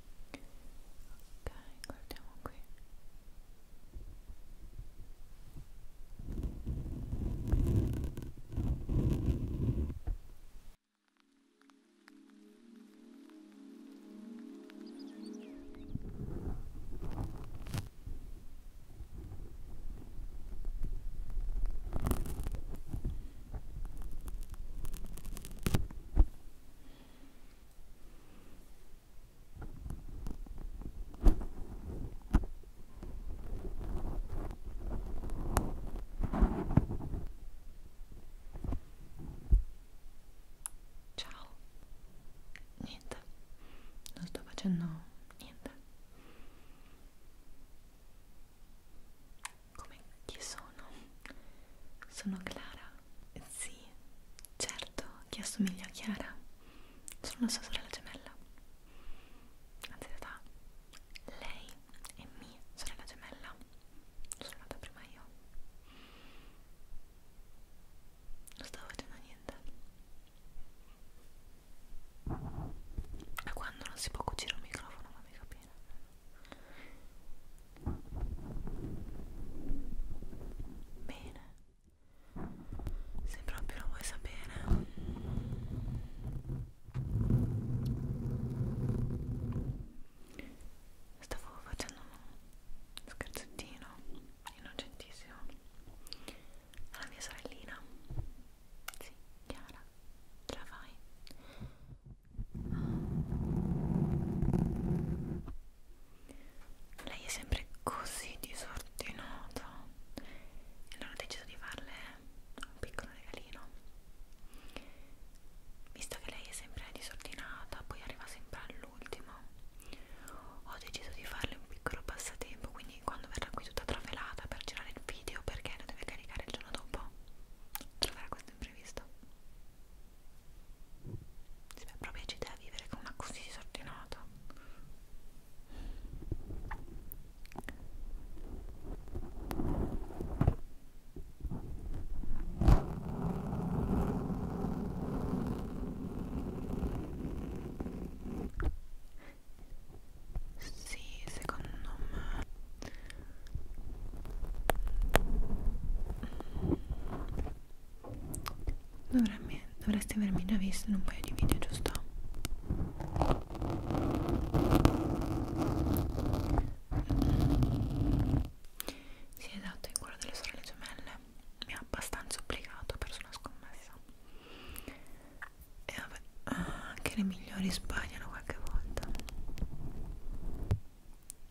ok guardiamo qui ok Ciao. Niente. Non sto facendo niente. Come chi sono? Sono Clara sì, certo, chi assomiglia a Chiara? Sono la sua sorella gemella. Anzi, in realtà, lei è mia sorella gemella. Sono nata prima io. Non stavo facendo niente. Da quando non si può cucire un microfono, fammi capire. Bene, se proprio lo vuoi sapere. Stavo facendo uno scherzettino innocentissimo alla mia sorellina. Sì, Chiara, ce la fai? Lei è sempre così disordinata e allora ho deciso di farle un piccolo regalino. Visto che lei è sempre disordinata, poi arriva sempre all'ultimo, ho deciso di farle un piccolo passatempo, quindi quando verrà qui tutta travelata per girare il video perché lo deve caricare il giorno dopo, troverà questo imprevisto. Se beh, proprio ci a vivere con una così disordinata. Sì, secondo me Dovremmi, dovresti avermi già visto in un paio di video, giusto? Sì, esatto, in quello delle sorelle gemelle mi ha abbastanza obbligato, ho perso una scommessa. E vabbè, ah, anche le migliori sbagliano qualche volta.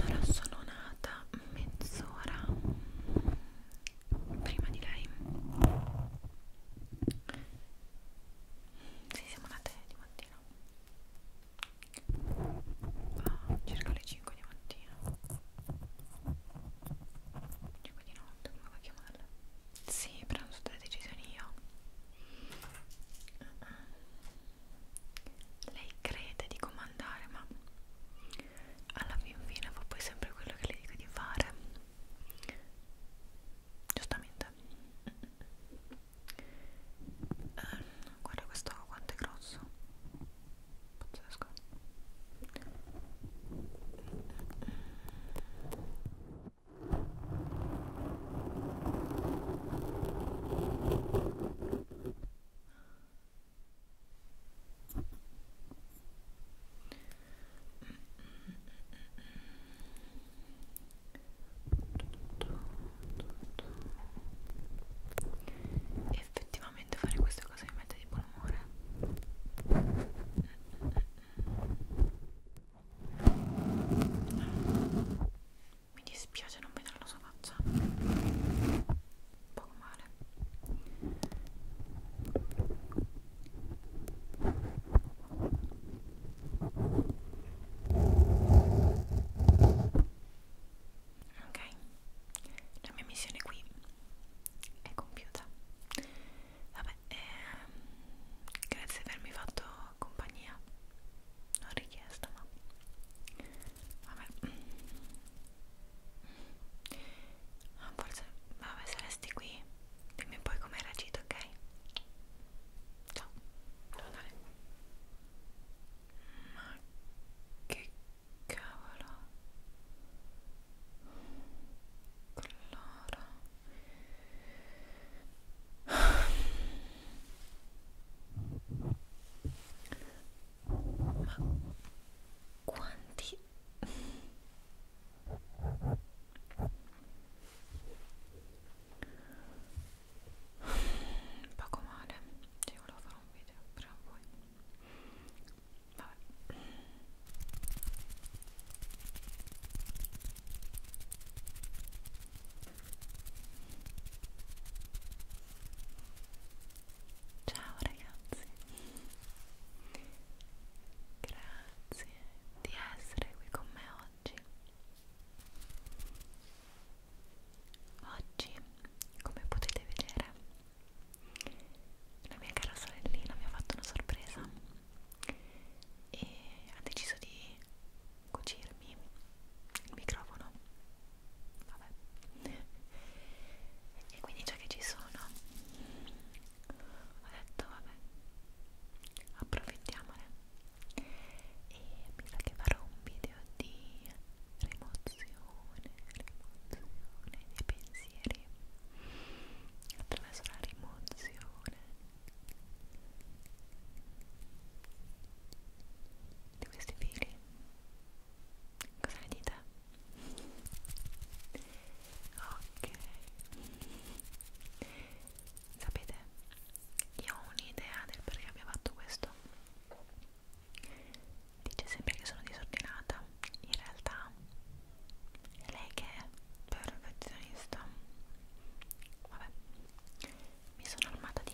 allora sono nata mezz'ora prima di lei sì, siamo nate di mattina ah, circa le 5 di mattina 5 di notte, come vuoi chiamarla? sì, prendo tutte le decisioni io lei crede di comandare ma alla fin fine fa poi sempre quello che le dico di fare giustamente eh, guarda questo quanto è grosso pazzesco e effettivamente fare questa cosa mi mette di buon umore mi dispiace non vedere la sua faccia un po' male ok la mia missione qui è compiuta vabbè ehm, grazie per avermi fatto compagnia non richiesta ma vabbè forse vabbè se resti qui dimmi poi come hai reagito ok ciao devo andare ma che cavolo allora ma quanti poco male ci volevo fare un video però voi vabbè Ciao ragazzi, grazie di essere qui con me oggi. Oggi, come potete vedere, la mia cara sorellina mi ha fatto una sorpresa e ha deciso di cucirmi il microfono vabbè e quindi già che ci sono ho detto vabbè approfittiamone e mi sa che farò un video di rimozione rimozione dei pensieri attraverso la rimozione di questi fili cosa ne dite? ok sapete io ho un'idea del perché abbia fatto questo dice sempre che sono disordinata in realtà lei che è perfezionista vabbè mi sono armata di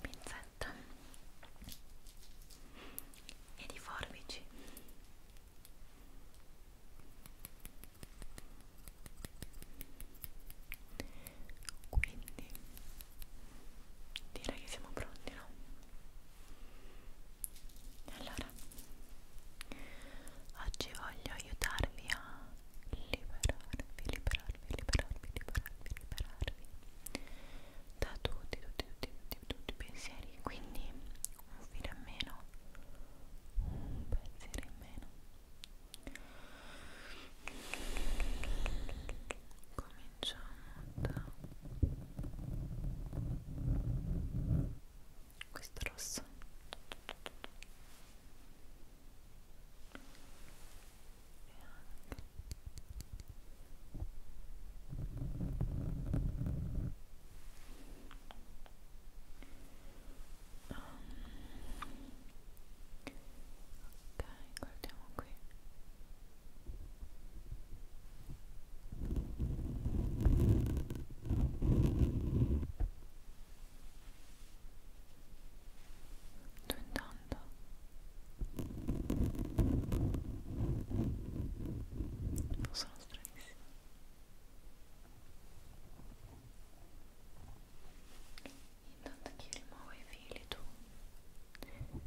pinzetta e di forbici quindi direi che siamo pronti no? allora Oggi voglio aiutarvi a liberarvi, liberarvi, liberarvi, liberarvi, liberarvi da tutti, tutti, tutti, tutti, tutti i pensieri. Quindi un filo in meno, un pensiero in meno. Cominciamo da questo rosso e anche um. ok guardiamo qui ok Sto andando non oh, sono stranissimo intanto che rimuovo i fili tu rimuovi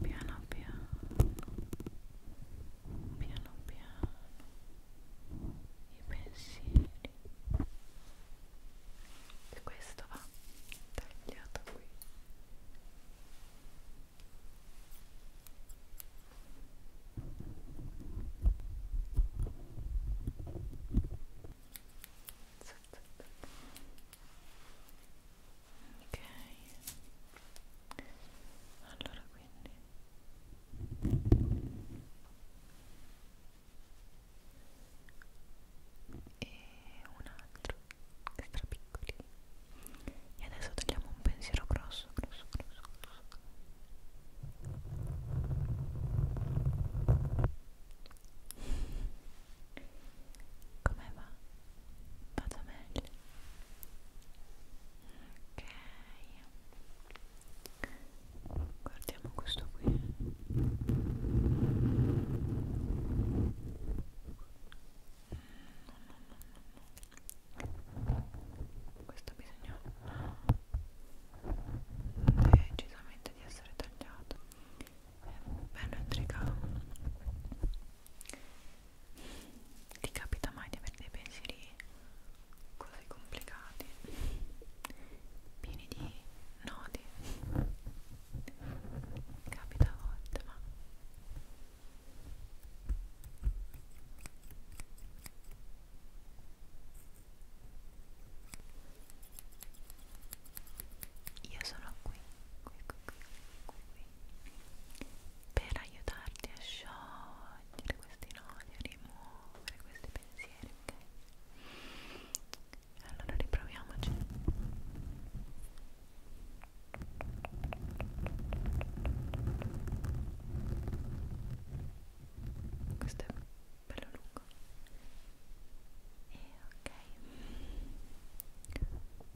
piano piano piano piano i pensieri e questo va tagliato qui ok allora quindi e un altro che stra piccoli e adesso tagliamo un pensiero grosso grosso grosso grosso come va? vado meglio ok guardiamo questo qui questo ha bisogno decisamente di essere tagliato è bello intricato ti capita mai di avere dei pensieri così complicati? Pieni di nodi? Capita a volte, ma io sono qui, qui, qui, qui, qui, qui per aiutarti a sciogliere questi nodi, a rimuovere questi pensieri, ok? Allora riproviamoci. Questo è bello lungo. E ok.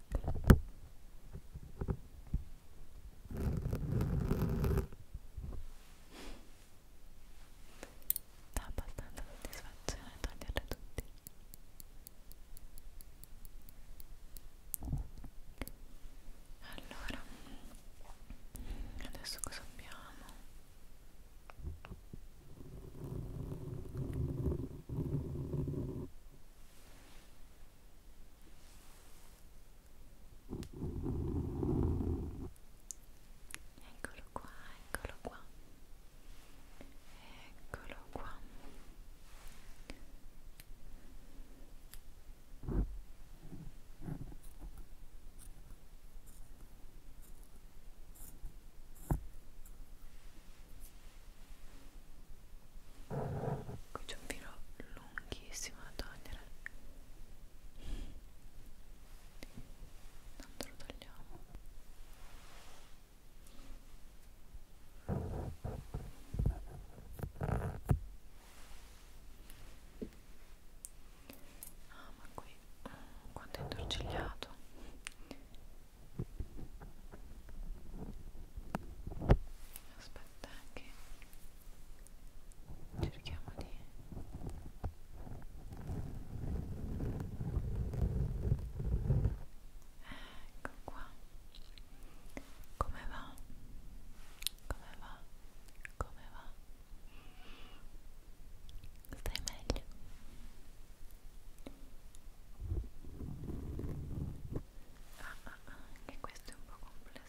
anche dà abbastanza soddisfazione toglierle tutti allora adesso cosa abbiamo? Eccolo qua, eccolo qua. Eccolo qua. Qui c'è un filo lunghissimo ricchissimo da togliere non te lo togliamo ah ma qui mm, quanto è intorcigliato aspetta che cerchiamo di ecco qua come va? come va? come va? stai meglio? Ah, ah, ah, che questo è un po' complesso.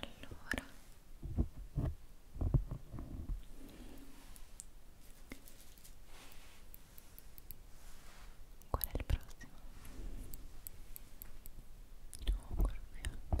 allora qual è il prossimo? no, ancora qui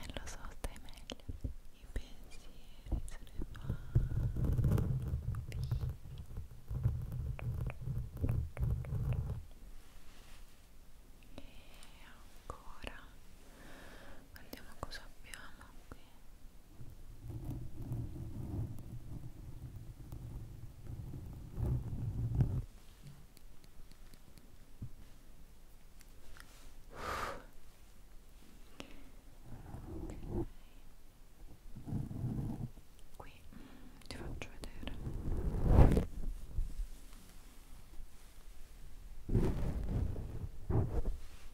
Eh, lo so, stai meglio. I pensieri se ne vanno via. E ancora. Guardiamo cosa abbiamo qui qui okay. qui ti faccio vedere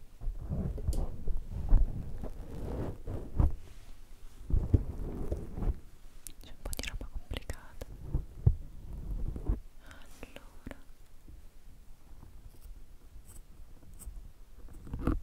c'è un po' di roba complicata. Allora. Giorno 4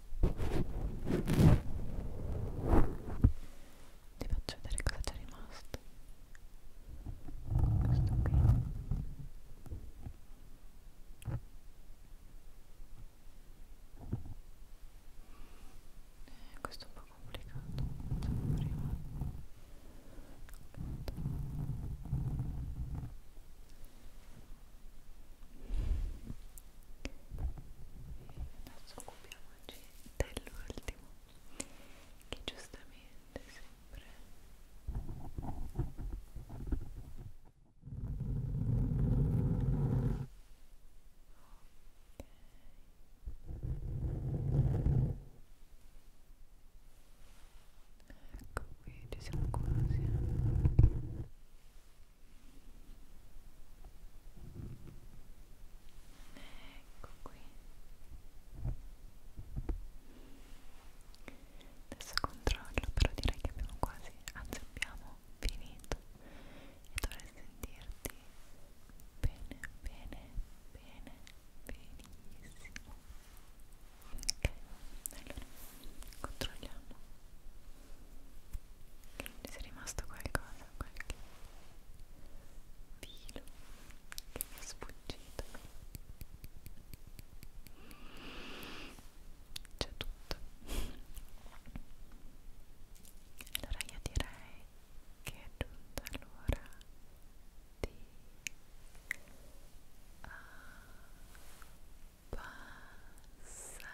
ti faccio vedere cosa c'è rimasto questo qui eh, questo è un po' complicato facciamo prima adesso occupiamoci dell'ultimo che giustamente sempre Ok Ecco qui, ci siamo quasi ecco qui adesso controllo però direi che abbiamo quasi anzi abbiamo finito e dovrei sentirti bene bene bene benissimo ok allora controlliamo mi è rimasto qualcosa, qualche filo che mi è sfuggito c'è tutto allora io direi che è giunta l'ora di ah, passare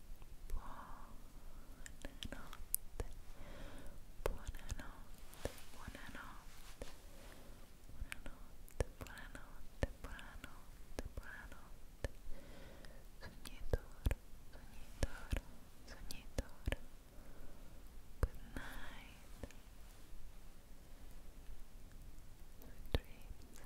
buonanotte, buonanotte, buonanotte, buonanotte, buonanotte, buonanotte, buonanotte, sognatore, sognatore, sognatore, good night, sweet dreams.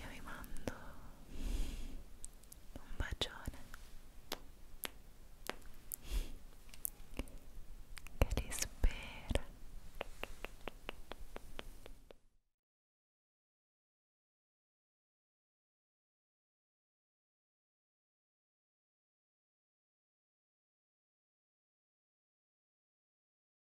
io vi mando un bacione che vi spera